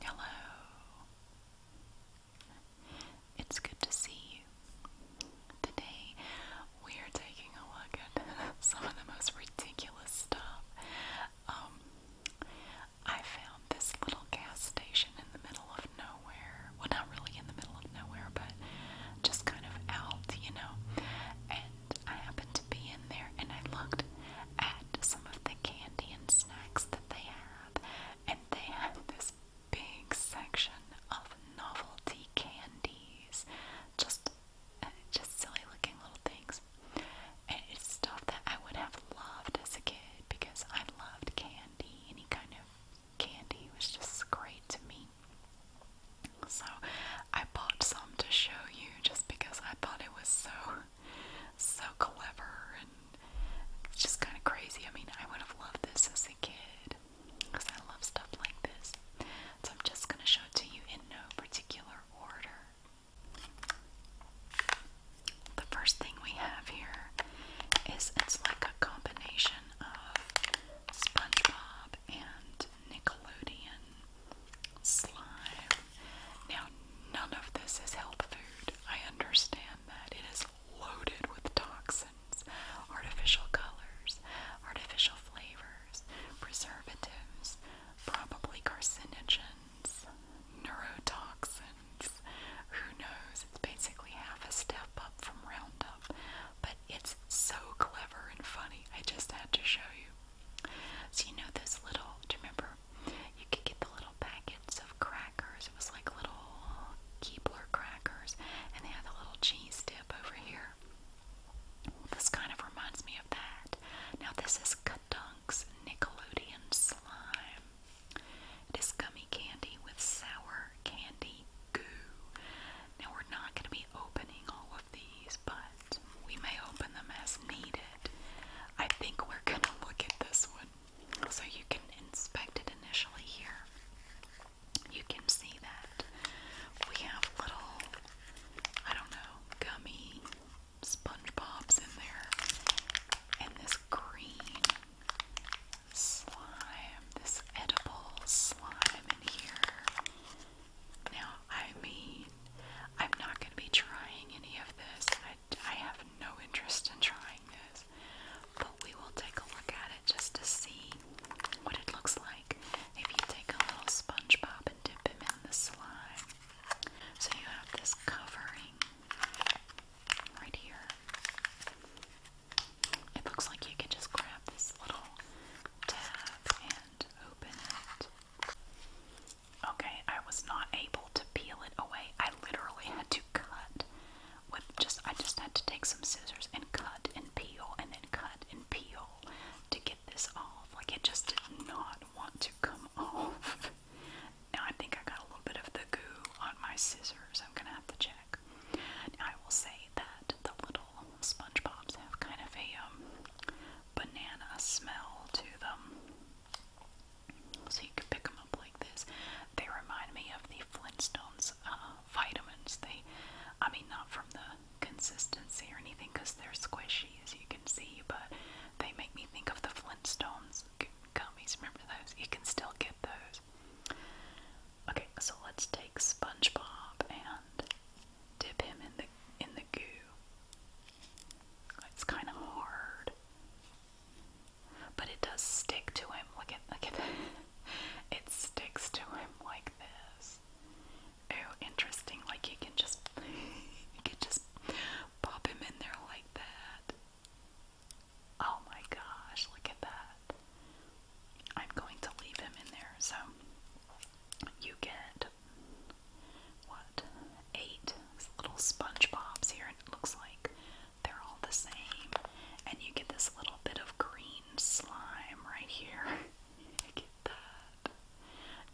Hello. It's good to see you. Today we are taking a look at some of the most ridiculous stuff. Um I found this little gas station in the middle of nowhere. Well, not really in the middle of nowhere, but just kind of out, you know. And and I happened to be in there and I looked at some of the candy and snacks that they have, and they had this big section of novelty candies, just uh, just silly looking little things. And it's stuff that I would have loved as a kid because I loved candy. Any kind of candy was just great to me. So I bought some to show you just because I thought it was so so clever and it's just kind of crazy. I mean, I would have loved this as a kid because I love stuff like this. So I'm just going to show it to you in no particular order. The first thing we have here is it's like a combination of SpongeBob and Nickelodeon slime. Now, none of this is health food. I understand that. It is loaded with toxins, artificial colors, artificial flavors, preservatives, probably carcinogens, neurotoxins. Who knows? It's basically half a step up from Roundup. But it's so clever and funny. I just had to show you. So you know those little, do you remember? You could get the little packets of crackers. It was like little Keebler crackers, and they had the little cheese dip over here. This kind of reminds me of that. Now this is Kadunk's Nickelodeon Slime. It is gummy candy with sour candy goo. Now we're not going to be opening all of these, but we may open them as needed. I think we're going to look at this one. So you can inspect it initially here. You can see that we have little, I don't know, gummy SpongeBob's in there. And this green slime, this edible slime in here. Now, I mean, I'm not going to be trying any of this. I, have no interest in trying this. But we will take a look at it just to see what it looks like if you take a little SpongeBob and dip him in the slime. So you have this covering right here. It looks like you can just grab this little tab and open it. Okay, I was not able to peel it away. I literally had to cut with just I just had to take some scissors and cut and peel and then cut and peel to get this off. Like it just did not want to come off. now I think I got a little bit of the goo on my scissors. I'm gonna have to check. I will say that the little SpongeBob's have kind of a um, banana smell to them. So you can pick them up like this. They remind me of the Flintstones uh, vitamins. They, I mean, not from the consistency or anything because they're squishy as you can see, but they make me think of the Flintstones gummies. Remember those? You can still get those. Okay, so let's take SpongeBob and dip him in the in the goo. It's kind of hard, but it does stick to him. Look at look at it. It sticks to him like this. Oh, interesting. Like you can just you can just pop him in there like that. Oh my gosh! Look at that. I'm going to leave him in there. So you get what, eight little SpongeBobs here, and it looks like they're all the same. And you get this little bit of green slime right here.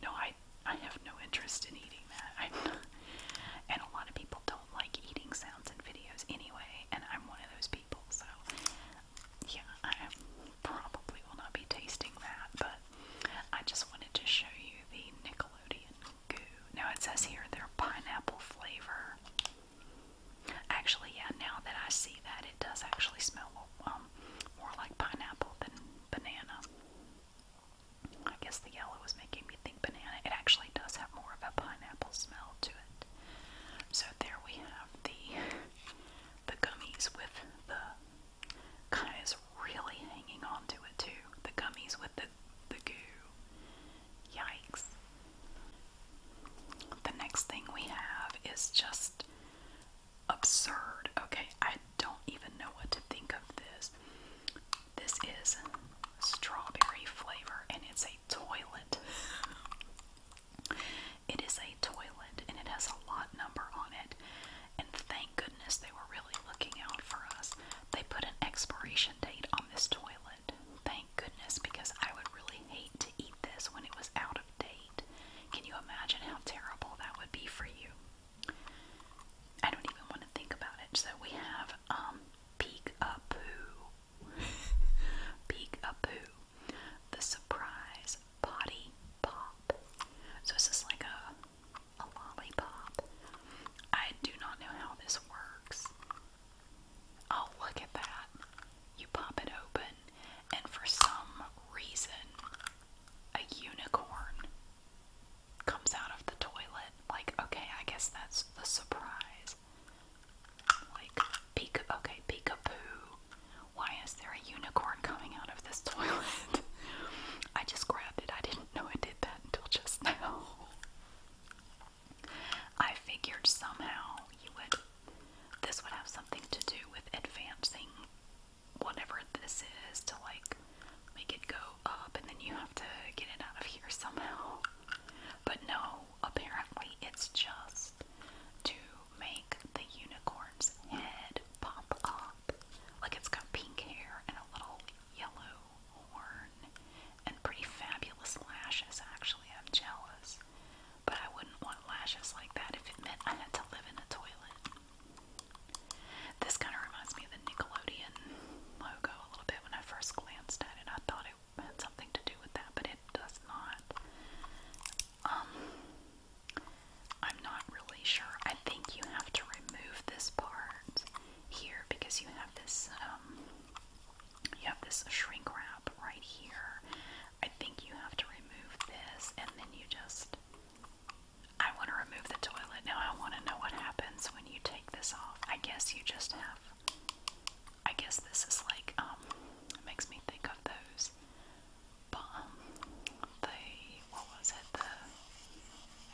No, I I have no interest in eating that. i and a lot of people don't like eating sounds and videos anyway, and I'm one of those people. So yeah, I am probably will not be tasting that, but I just wanted to show you the Nickelodeon goo. Now it says here they're pineapple flavor. Actually, yeah, now that I see that, it does actually smell um, more like pineapple than banana. I guess the yellow is making me think banana. It actually does have more of a pineapple smell to it. So there we have the the gummies with the kind is really hanging on to it too. The gummies with the, the goo. Yikes. The next thing we have is just absurd. Okay, I don't even know what to think of this. This is strawberry flavor and it's a toilet. It is a toilet and it has a lot number on it and thank goodness they were really looking out for us. They put an expiration date on this toilet. Thank goodness, because I would really hate to eat this when it was out of date. Can you imagine how terrible that would be for you? I don't even want to think about it. So we have um Peek-a-Poo. Peek-a-Poo. The surprise potty pop. So this is like a a lollipop. I do not know how this works. Oh, look at that. You pop it open, and for some reason, a unicorn comes out of the toilet. Like, okay, I guess that's the surprise. Like, peek, okay, boo. Why is there a unicorn coming out of this toilet? I just grabbed it. I didn't know it did that until just now. I figured somehow this would have something to do with advancing whatever this is to like make it go up and then you have to get it out of here somehow. But no, apparently it's just to make the unicorn's head pop up up. Like it's got pink hair and a little yellow horn and pretty fabulous lashes, actually. I'm jealous. But I wouldn't want lashes like that if it meant I had to live in a toilet. This kind of reminds me of the Nickelodeon logo a little bit. When I first glanced at it, I thought it had something to do with that, but it does not. Um, I'm not really sure. I think you have to remove this part here because you have this um you have this shrink wrap right here. I think you have to remove this and then you just I want to remove the toilet. Now I want to know what happens when you take this off. I guess you just have I guess this is like um it makes me think of those but um, the what was it the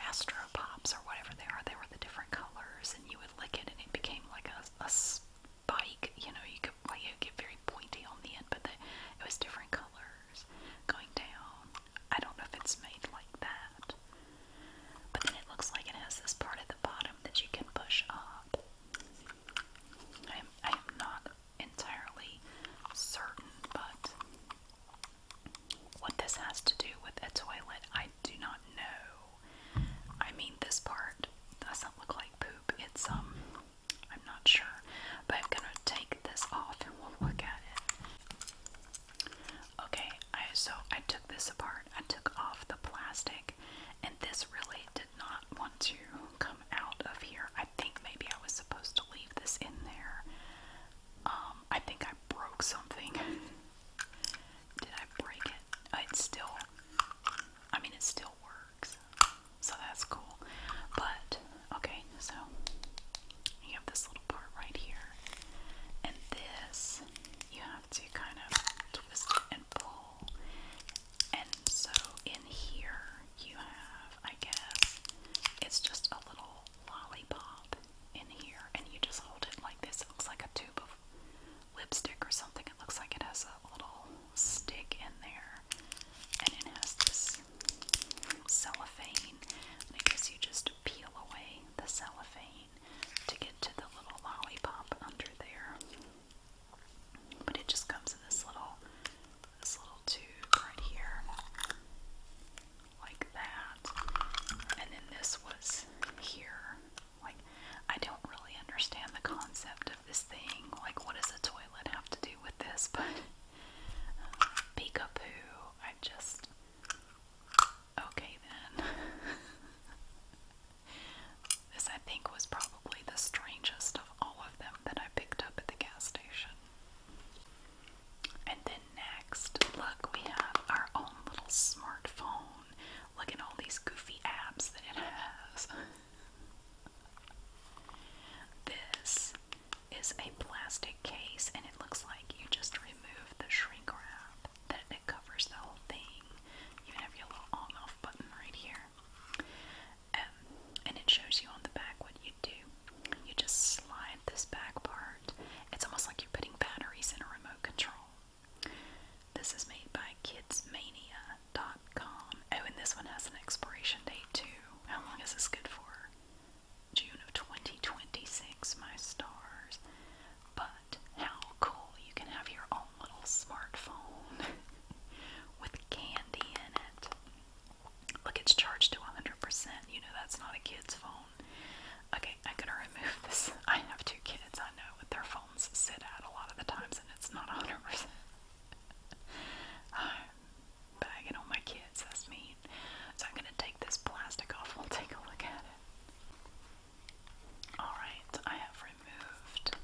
Astro Pops or whatever they are. They were the different colors, and you would lick it, and it became like a, a spike. You know, you could like it would get very pointy on the end, but the, it was different colors going down. I don't know if it's made like that, but then it looks like it has this part at the bottom that you can push up. I am, I am not entirely certain, but what this has to do with a toilet, I do not know. I mean, this part doesn't look like poop. It's, um, I'm not sure, but I'm gonna take this off and we'll look at it. Okay, I, so I took this apart. I took off the plastic, and this really did not want to come out of here. I think maybe I was supposed to leave this in there. Um, I think I broke something. Did I break it? Uh, it's still, I mean, it still works. So that's cool. But, okay, so you have this little part right here. And this, you have to kind of twist and pull. And so in here, you have I guess. It's just a little lollipop in here, and you just hold it like this. It looks like a tube of lipstick or something. It looks like it has a little stick in there, and it has this cellophane. And I guess you just peel away the cellophane to get to the little lollipop under there. But it just comes in this little this little tube right here, like that. And then this was here. Like, I don't really understand the concept of this thing. Like, what does a toilet have to do with this? But uh, peekapoo, I just. Okay then. this, I think, was probably the strangest of all of them that I picked up at the gas station. And then next, look, we have our own little smartphone. Look at all these goofy apps that it has. This is a plastic case, and it looks like you just remove the shrink wrap that it covers the whole thing. You have your little on off button right here. Um, and it shows you on the back what you do. You just slide this back part. It's almost like you're putting batteries in a remote control. This is made by kidsmania.com. Oh, and this one has an expiration date too. How long is this good for? June of 2026, my stars. But how cool you can have your own little smartphone with candy in it. Look, it's charged to 100%. You know that's not a kid's phone. Okay, I'm gonna remove this. I have two kids, I know, with their phones sit out a lot of the times and it's not 100%. I'm bagging on my kids, that's mean. So I'm gonna take this plastic off, we'll take a look at it. Alright, I have removed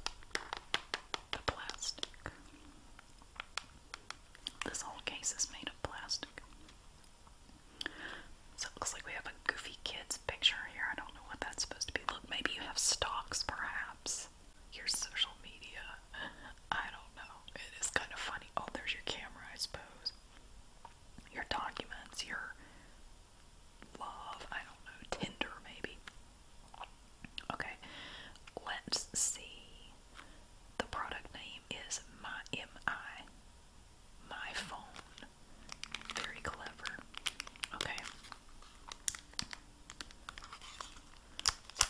the plastic. This whole case is made of plastic. So it looks like we have a goofy kid's picture here. I don't know what that's supposed to be. Look, maybe you have stocks, perhaps. Your social media. I don't know. It is kind of funny. Oh, there's your camera, I suppose. Your documents, your love. I don't know. Tinder, maybe. Okay, let's see. The product name is My MI. My phone. Very clever. Okay.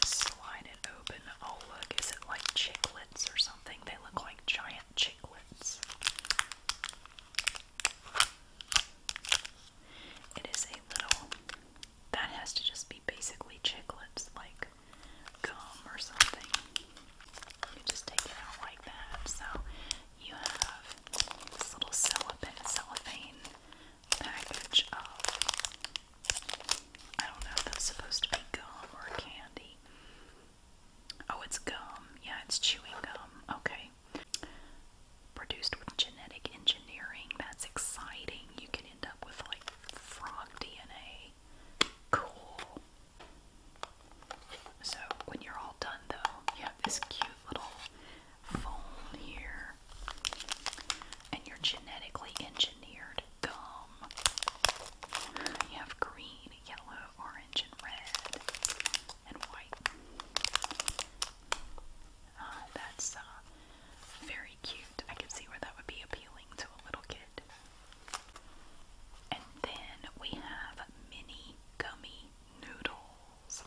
Slide it open. Oh, look, is it like chicklets or something? They look like giant chicklets. It is a little that has to just be basically chiclets, like gum or something. You just take it out like that. So you have this little cellophane, package of, I don't know if that's supposed to be gum or candy. Oh, it's gum. Yeah, it's chewing gum. Okay. Produced with genetic engineering. That's exciting. You can end up with like frog DNA. Cool. So when you're all done though, you have this cute little foam here. And you're genetically engineered gum. You have green, yellow, orange, and red, and white. Uh, that's uh, very cute. I could see where that would be appealing to a little kid. And then we have mini gummy noodles.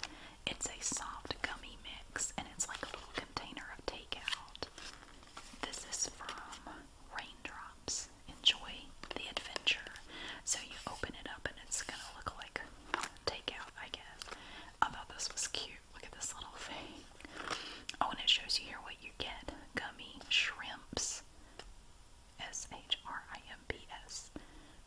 It's a soft gummy mix and it's like a little container of takeout. This is from Raindrops. Enjoy the adventure. So you open it up and it's gonna look like takeout, I guess. I thought this was cute. Look at this little thing. Oh, and it shows you here what you get gummy shrimps. S H R I M P S.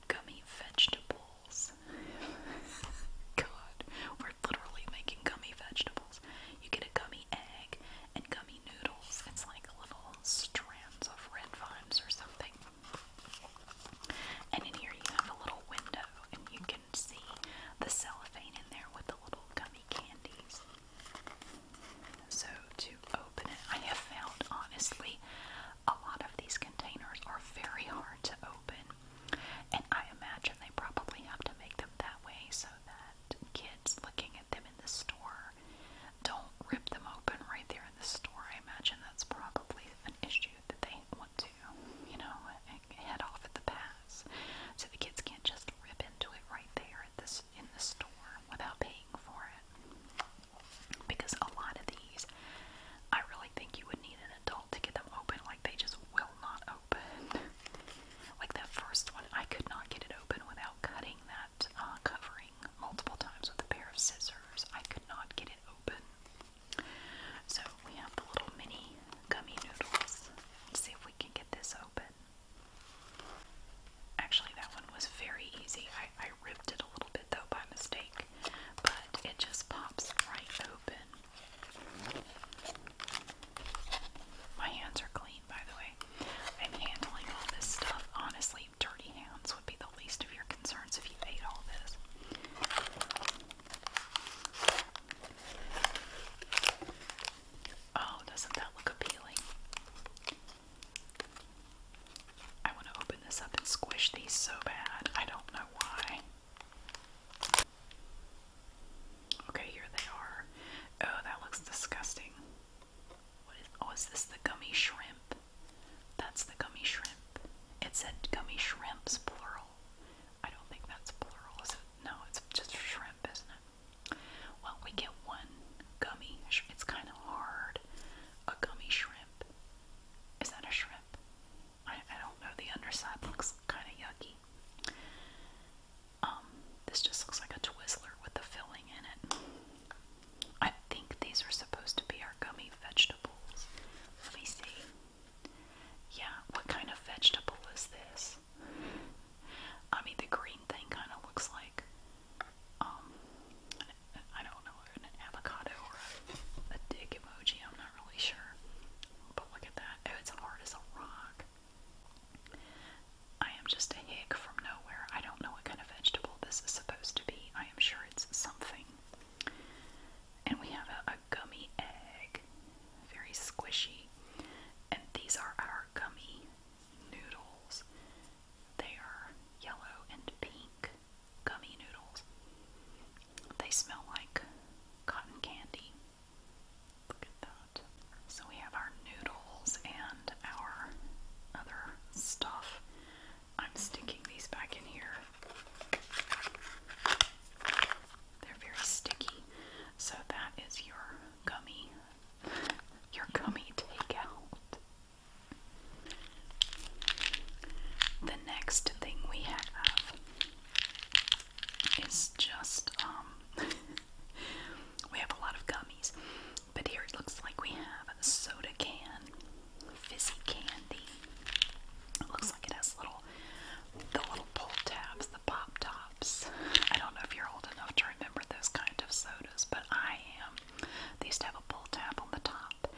Gummy vegetables. God, we're literally making gummy vegetables. You get a gummy egg and gummy noodles. It's like little strands of red vines or something. And in here you have a little window and you can can see the cellophane in there with the little gummy candies. So, to open it, I have found honestly a lot of these containers are very hard to open, and I imagine they probably have to make them that way so that kids looking at them in the store don't rip them open right there in the store. I imagine that's probably an issue that they want to you know, head off at the pass. So the kids can't just rip into it right there at this in the store without paying for it. Because a lot of these, I really think you would need an adult to get them open. Like they just will not open. like that first one, I could not get it open without cutting that uh, covering multiple times with a pair of scissors. I could not get it open. So we have the little mini gummy noodles. Let's see if we can get this open. Actually, that one was very easy. I, ripped it a little bit though by mistake, but it just pops right open. My hands are clean, by the way. I'm handling all this stuff. Honestly, dirty hands would be the least of your concerns if you ate all this. Oh, doesn't that look appealing? I want to open this up and squish these so bad. I don't know why. Okay, here they are. Oh, that looks disgusting. What is, oh, is this the gummy shrimp? That's the gummy shrimp. It said gummy shrimps, plural. I don't think that's plural, No, it's just shrimp, isn't it? Well, we get one gummy. It's kind of hard. A gummy shrimp. Is that a shrimp? I don't know. The underside looks kind of yucky. Um, this just looks like a Twizzler with the filling in it. I think these are supposed to be our gummy vegetables. Let me see. Yeah, what kind of vegetable is this? I mean, the green thing kind of looks like, um, I don't know, an avocado or a, dick emoji, I'm not really sure. But look at that. Oh, it's hard as a rock. I am just a hick from nowhere. I don't know what kind of vegetable this is supposed to be. I am sure it's something. And we have a, gummy egg, very squishy. And these are our gummy noodles. They are yellow and pink gummy noodles. They smell like cotton candy. Look at that. So we have our noodles and our other stuff. I'm sticking these back in here they're very sticky. So that is your gummy your gummy takeout. The next thing we have is just um we have a lot of gummies, but here it looks like we have a soda can, fizzy candy. It looks like it has little the little pull tabs, the pop tops. I don't know if you're old enough to remember those kind of sodas, but I am. They used to have a pull tab on the top,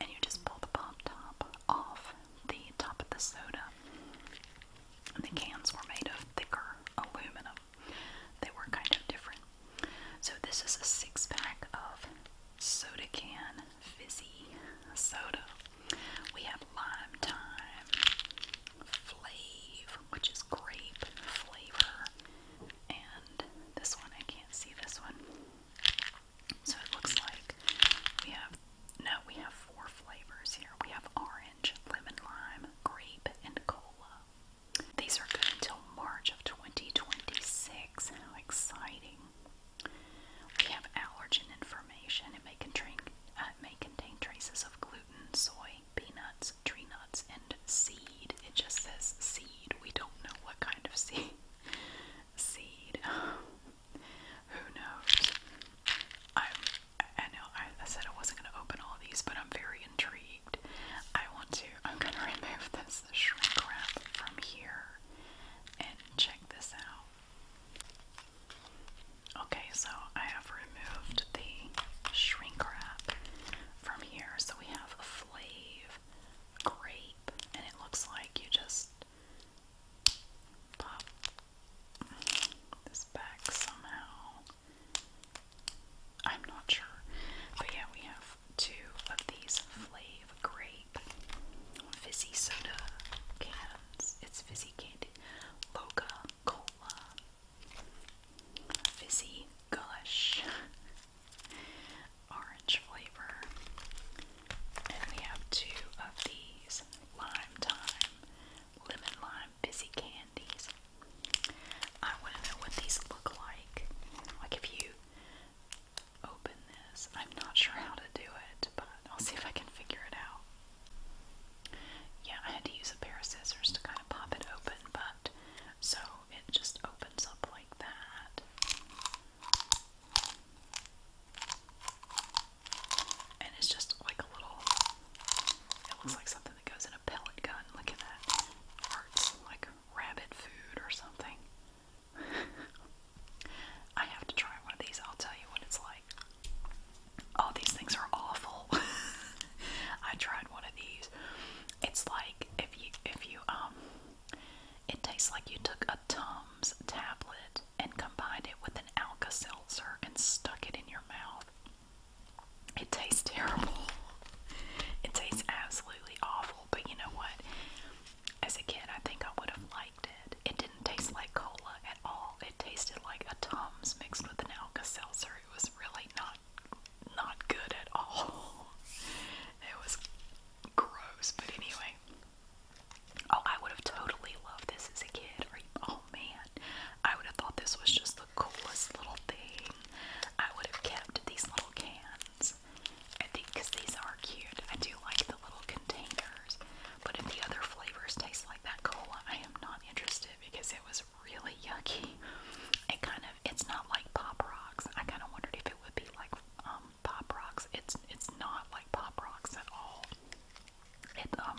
and you just pull the pop top off the top of the soda. And the cans were made of thicker aluminum. They were kind of different. So this is a six pack of soda can fizzy soda. We have lime time flavor, which is grape flavor, and this one I can't see this one. So it looks like we have no, we have four flavors here. We have orange, lemon lime, grape, and cola. These are good until March of 2026. How exciting! We have allergen information. It may contain, uh, may contain traces of gluten, soy, peanuts, tree nuts, and seed. It just says seed. We don't know what kind of seed. Seed. Who knows? i know I said I wasn't going to open all these, but I'm very intrigued. I want to. I'm going to remove this shrink wrap from here and check this out. Okay, so I have removed the shrink wrap from here. So we have a flave grape, and it looks like you just pop this back somehow. I'm not sure. But yeah, we have two of these flave grape fizzy soda cans. It's fizzy candy, Loca Cola, Fizzy Gush, orange flavor, and we have two of these lime time, lemon lime fizzy candies. I want to know what these look like. Like if you open I'm not sure how to do it, but I'll see if I can figure it out. Yeah, I had to use a pair of scissors to kind of pop it open, but so it just opens up like that. And it's just like a little, it looks like something that goes in a pellet gun. Look at that. like rabbit food or something. I have to try one of these. I'll tell you what it's like. Oh, these things are awful. I tried one of these. It's like if you if you um it tastes like you took a Tums tablet and combined it with an Alka Seltzer and stuck it in your mouth. It tastes terrible. It tastes absolutely awful, but you know what? As a kid, I think I would have liked it. It didn't taste like cola at all. It tasted like a Tums mixed with an Alka-Seltzer. It was really not not good at all. It was gross, but anyway. Oh, I would have totally loved this as a kid. oh man, I would have thought this was just the coolest little thing. I would have kept these little cans. I think because these are cute. I do like the little container flavors. But if the other flavors taste like that cola, I am not interested because it was really yucky. It kind of it's not like Pop Rocks. I kind of wondered if it would be like um, Pop Rocks. It's it's not like Pop Rocks at all. It um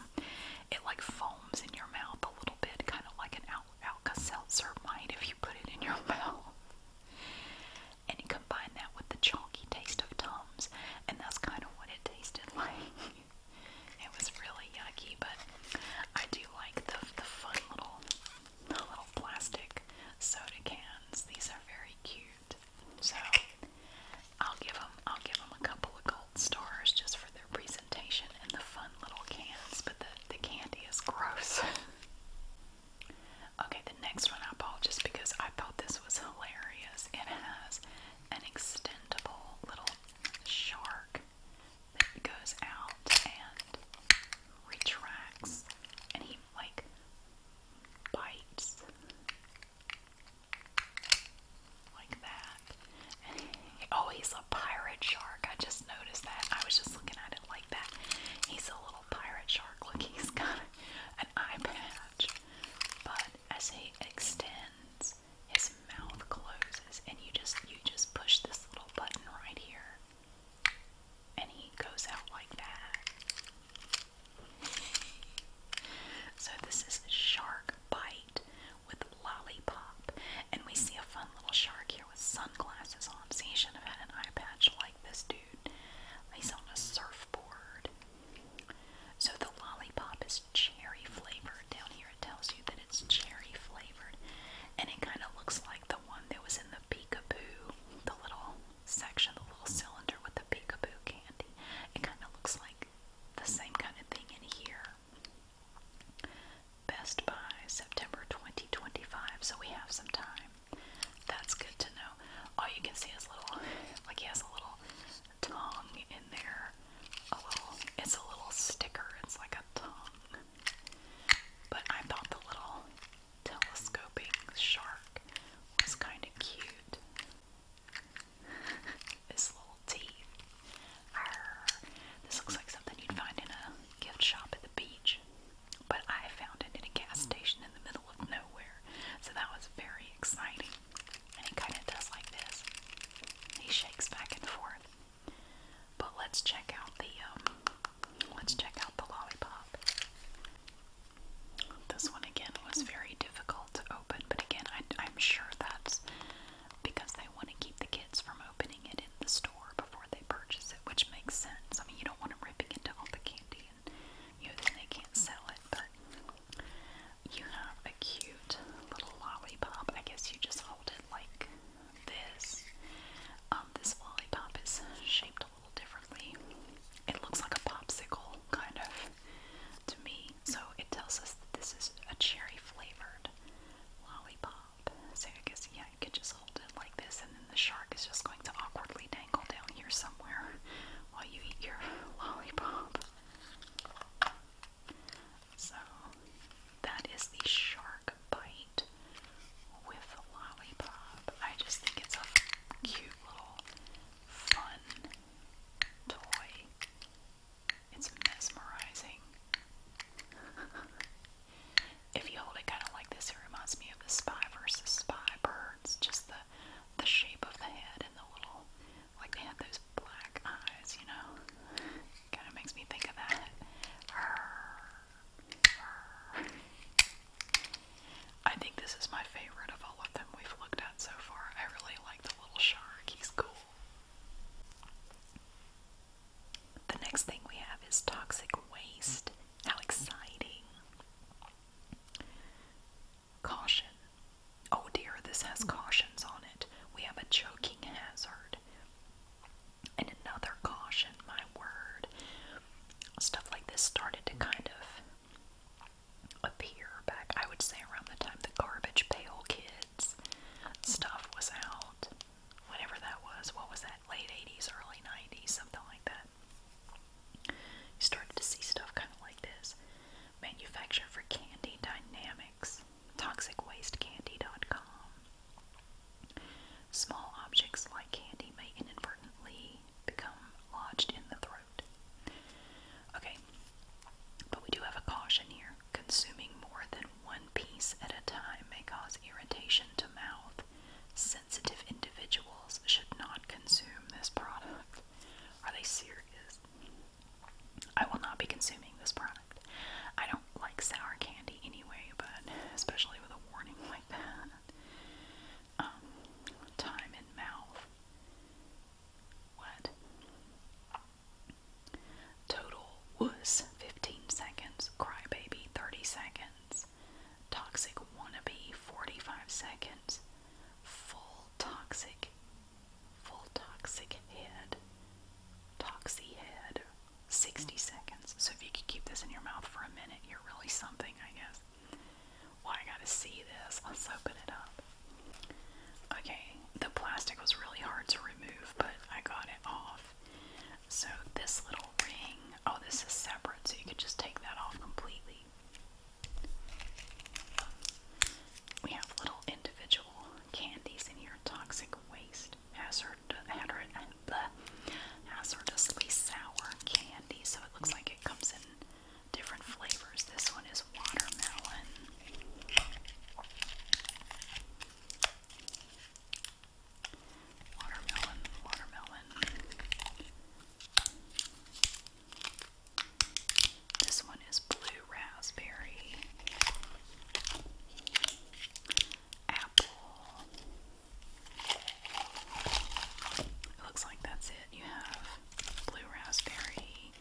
it like foams in your mouth a little bit, kind of like an Al Alka Seltzer might if you put it in your mouth and you combine that with the chalky taste of Tums, and that's kind of what it tasted like. it was really yucky, but I do like the the fun little little plastic soda cans. These are very cute, so I'll give them I'll give them a couple of gold stars just for their presentation and the fun little cans. But the the candy is gross. okay, the next one I bought just because I thought this was hilarious. It has an extendable little shark that goes out and retracts, and he like bites like that. oh, he's a pirate shark. I just noticed that. I was just looking at it like that. He's a little pirate shark. Look, he's got an eye patch, but as he extends, his mouth closes, and you just you just push this little button right here, and he goes out like that. So this is shark bite with lollipop, and we see a fun little shark here with sunglasses on. See, he should have had an eye patch like this dude. He's on a surfboard. So the lollipop is cherry flavored. Down here it tells you that it's cherry flavored. And it kind of looks like the one that was in the peekaboo, the little section, the little cylinder with the peek-a-boo candy. It kind of looks like the same kind of thing in here. Best Buy, September 2025, so we have some time. That's good to know. All you can see is little, like he has a little tongue in there. A it's a little sticker. It's like a tongue. But I thought the little telescoping shark was kind of cute. His little teeth. This looks like something you'd find in a gift shop at the beach, but I found it in a gas station in the middle of nowhere. So that was very exciting. And he kind of does like this. He shakes back and forth. But let's check out the um let's check out the lollipop. This one again was very difficult to open, but again I I'm sure that's because they want to keep the kids from opening it in the store before they purchase it, which makes sense. I mean you don't want them ripping into all the candy you then they can't sell it, but you have a cute little lollipop. I guess you just hold it like this. Um, this lollipop is shaped a little differently. It looks like a popsicle, kind of, to me. So it tells us that this is a cherry flavored lollipop. So I guess, yeah, you could just hold it like this, and then the shark is just going to awkwardly down here somewhere while you eat your lollipop. So, that is the shark bite with lollipop. I just think it's a cute little fun toy. It's mesmerizing. if you hold it kind of like this, it reminds me of the spy versus spy birds. Just the the shape of the head and the little like they have those black eyes, you know. Kind of makes me think of that. I think this is my favorite of all of them we've looked at so far. I really like the little shark. He's cool. The next thing we have is toxic waste. How exciting! Caution. Oh dear, this has cautions on it. We have a choking hazard. And another caution, my word. Stuff like this started to kind of appear back, I would say, around the time the Garbage Pail Kids stuff was out. Whatever that was. What was that? Late 80s, early 90s, something like that. You started to see stuff kind of like this. Manufactured for Candy Dynamics, ToxicWasteCandy.com. Small objects like candy may inadvertently become lodged in the throat. Okay, but we do have a caution here. Consuming more than one piece at a time may cause irritation to mouth. Sensitive individuals should not consume this product. Are they serious? I will not be consuming this product. I don't like sour candy anyway, but especially with a warning like that. Um, time in mouth. What? Total was 15 seconds, crybaby 30 seconds, toxic wannabe 45 seconds, full toxic, full toxic head, toxy head, 60 seconds. So if you could keep this in your mouth for a minute, you're really something, I guess. Well, I gotta see this. Let's open it up. Okay, the plastic was really hard to remove, but I got it off. So this little ring, oh, this is separate, so you could just take that off completely. We have little individual candies in here. Toxic waste, hazard, hazardously sour candy. So it looks like it comes in different flavors. This one is watermelon. Watermelon, watermelon, this one is blue raspberry, apple. It looks like that's it. You have blue raspberry,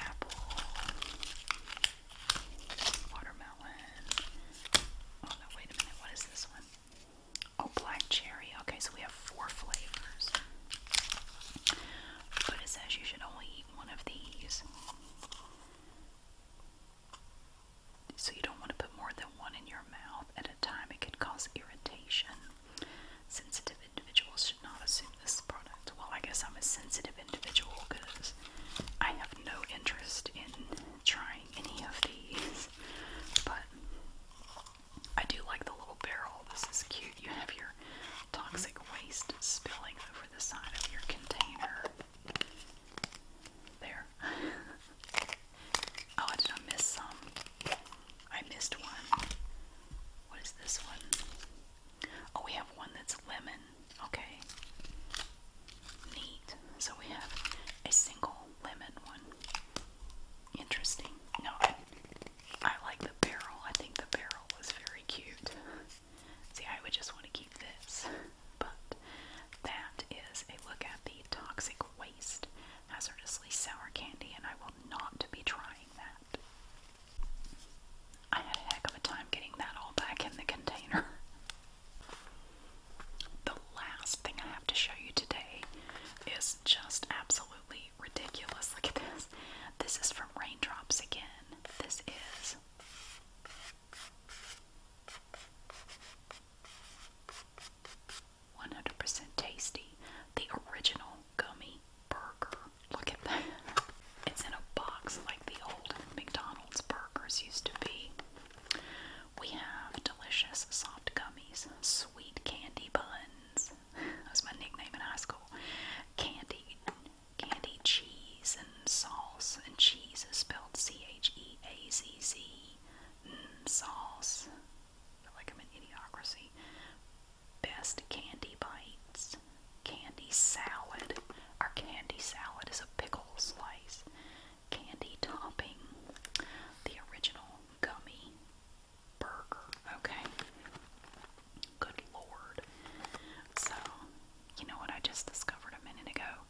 apple, watermelon. Oh no, wait a minute, what is this one? Oh, black cherry. Okay, so we have four flavors. But it says you should only eat one of these. So you don't want to put more than one in your mouth at a time. It could cause irritation. Sensitive individuals should not assume this product. Well, I guess I'm a sensitive individual because I have no interest in trying any of these. But I do like the little barrel. This is cute. You have your toxic waste spilling over the side of your container. There. oh, did I miss some? I missed one. What is this one? Oh, we have one that's lemon. Okay. Neat. So we have a single lemon one. Interesting. No, I like the barrel. I think the barrel was very cute. See, I would just want to keep this. But that is a look at the toxic waste hazardously sour candy, and I will not be trying that. I had a heck of a time getting that all back in the container. The last thing I have to show you today is just absolutely ridiculous. Look at this. This is from Raindrops again. This is. One hundred percent tasty, the original gummy burger. Look at that. It's in a box like the old McDonald's burgers used to be. We have delicious soft gummies, sweet candy buns, that was my nickname in high school. Candy, candy cheese and sauce, and cheese is spelled C-H-E-A-Z-Z. Mm, sauce, feel like I'm an idiocracy. Best candy bites, candy salad. Our candy salad is a pickle slice. Candy topping, the original gummy Okay. Good lord. So, you know what I just discovered a minute ago?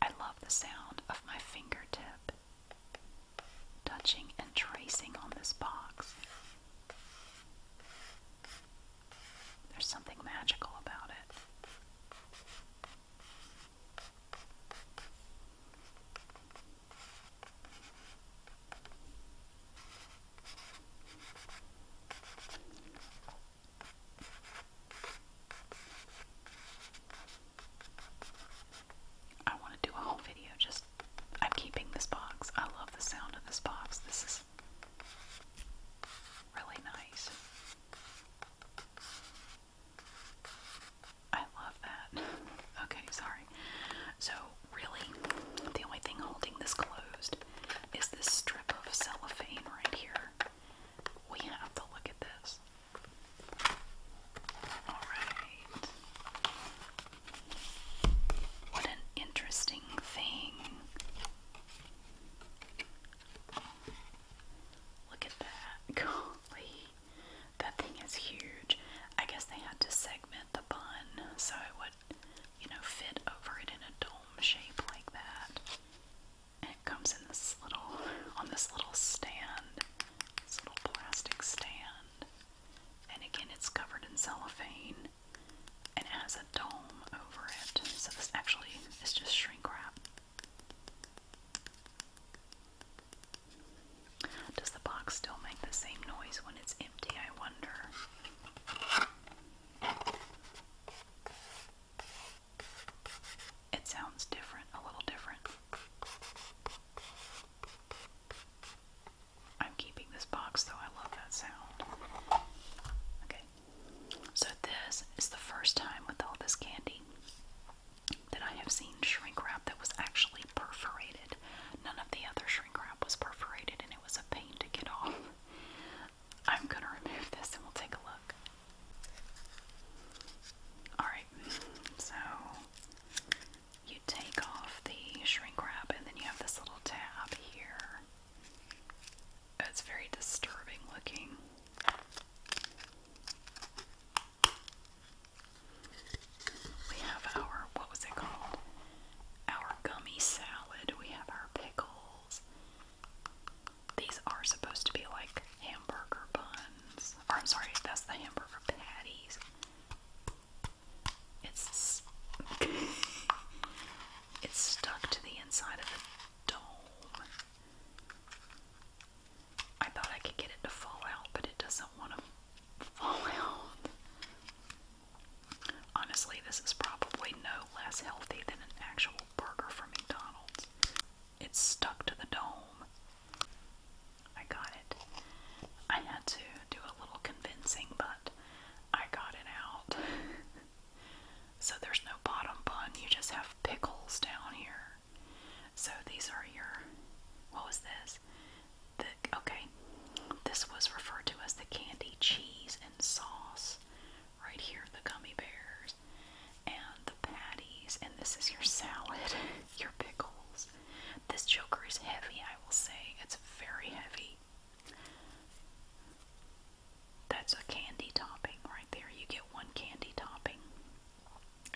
I love the sound of my fingertip touching and tracing on this box. There's something magical about it. I want to do a whole video just i keeping this box. I love the sound of this box. This is really nice. I love that. okay, sorry. So, really, the only thing holding this closed is this strip of cellophane right here. We have to look at this. Alright. What an interesting thing. Look at that. Golly. That thing is huge. I guess they had to segment the bun so it would, you know, fit over it in a dome shape like that. And it comes in this little, on this little stand, this little plastic stand. And again, it's covered in cellophane and it has a dome over it. So this actually is just shrink wrap. Does the box still make the same noise when it's empty? I wonder. It sounds different, a little different. I'm keeping this box though, I love that sound. Okay, so this is the first time with all this candy that I have seen shrink wrap that was actually perforated. None of the other shrink wrap was perforated, and it was a pain to get off. I'm gonna remove this and we'll take a look. Alright, so you take off the shrink wrap, and then you have this little tab here. It's very disturbing looking. We have our, what was it called? Our gummy salad. We have our pickles. These are supposed to be like hamburger buns. Or I'm sorry, that's the hamburger patties. It's it's stuck to the inside of the dome. I thought I could get it to fall out, but it doesn't want to fall out. Honestly, this is probably no less healthy than an actual burger from McDonald's. It's stuck to the dome. I got it. I had to do a little convincing, but I got it out. so there's no bottom bun, you just have pickles down here. So these are your, what was this? okay, this was referred to as the candy cheese and sauce. Right here, the gummy bears and the patties, and this is your salad, your pickles. This joker is heavy, I will say. It's very heavy. That's a candy topping right there. You get one candy topping.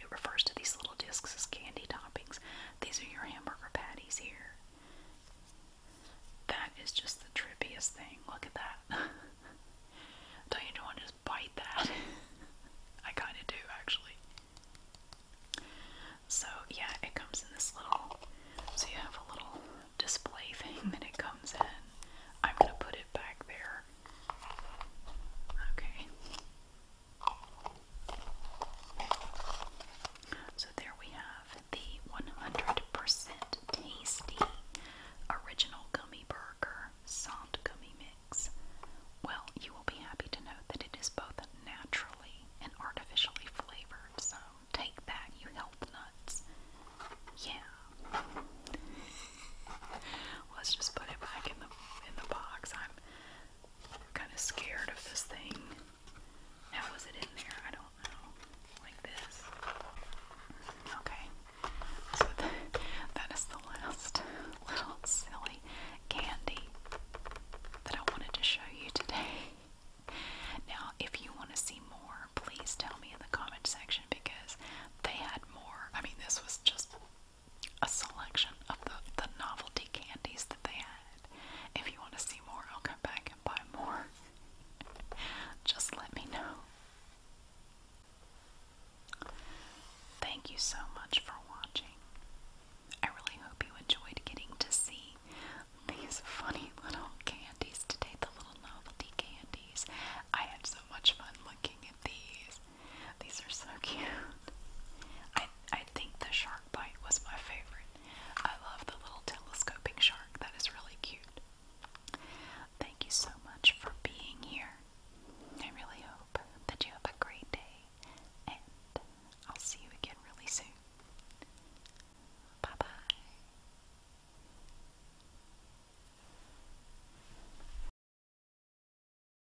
It refers to these little discs as candy toppings. These are your hamburger patties here. That is just the trippiest thing. Look at that. Don't want to bite that? I kind of do, actually. So, yeah, it comes in this little. So, you have a little display thing that it comes in. I'm going to put it back there. Okay. So there we have the 100% tasty original gummy burger salt gummy mix. Well, you will be happy to know that it is both naturally and artificially flavored. So take that, you health nuts. Yeah. Let's just put it back in the in the box. I'm kind of scared of this thing. How was it in there? I don't know. Like this. Okay. So that is the last little silly candy that I wanted to show you today. Now, if you want to see more, please tell me in the comment section because they had more. I mean, this was just a selection of the, the novelty candies that they had. If you want to see more, I'll come back and buy more. Just let me know. Thank you so much for watching. I really hope you enjoyed getting to see these funny little candies today, the little novelty candies. I had so much fun looking at these. These are so cute. I I think the shark bite was my favorite. I love the little telescoping shark. That is really cute. Thank you so much for being here. I really hope that you have a great day and I'll see you again really soon. Bye bye.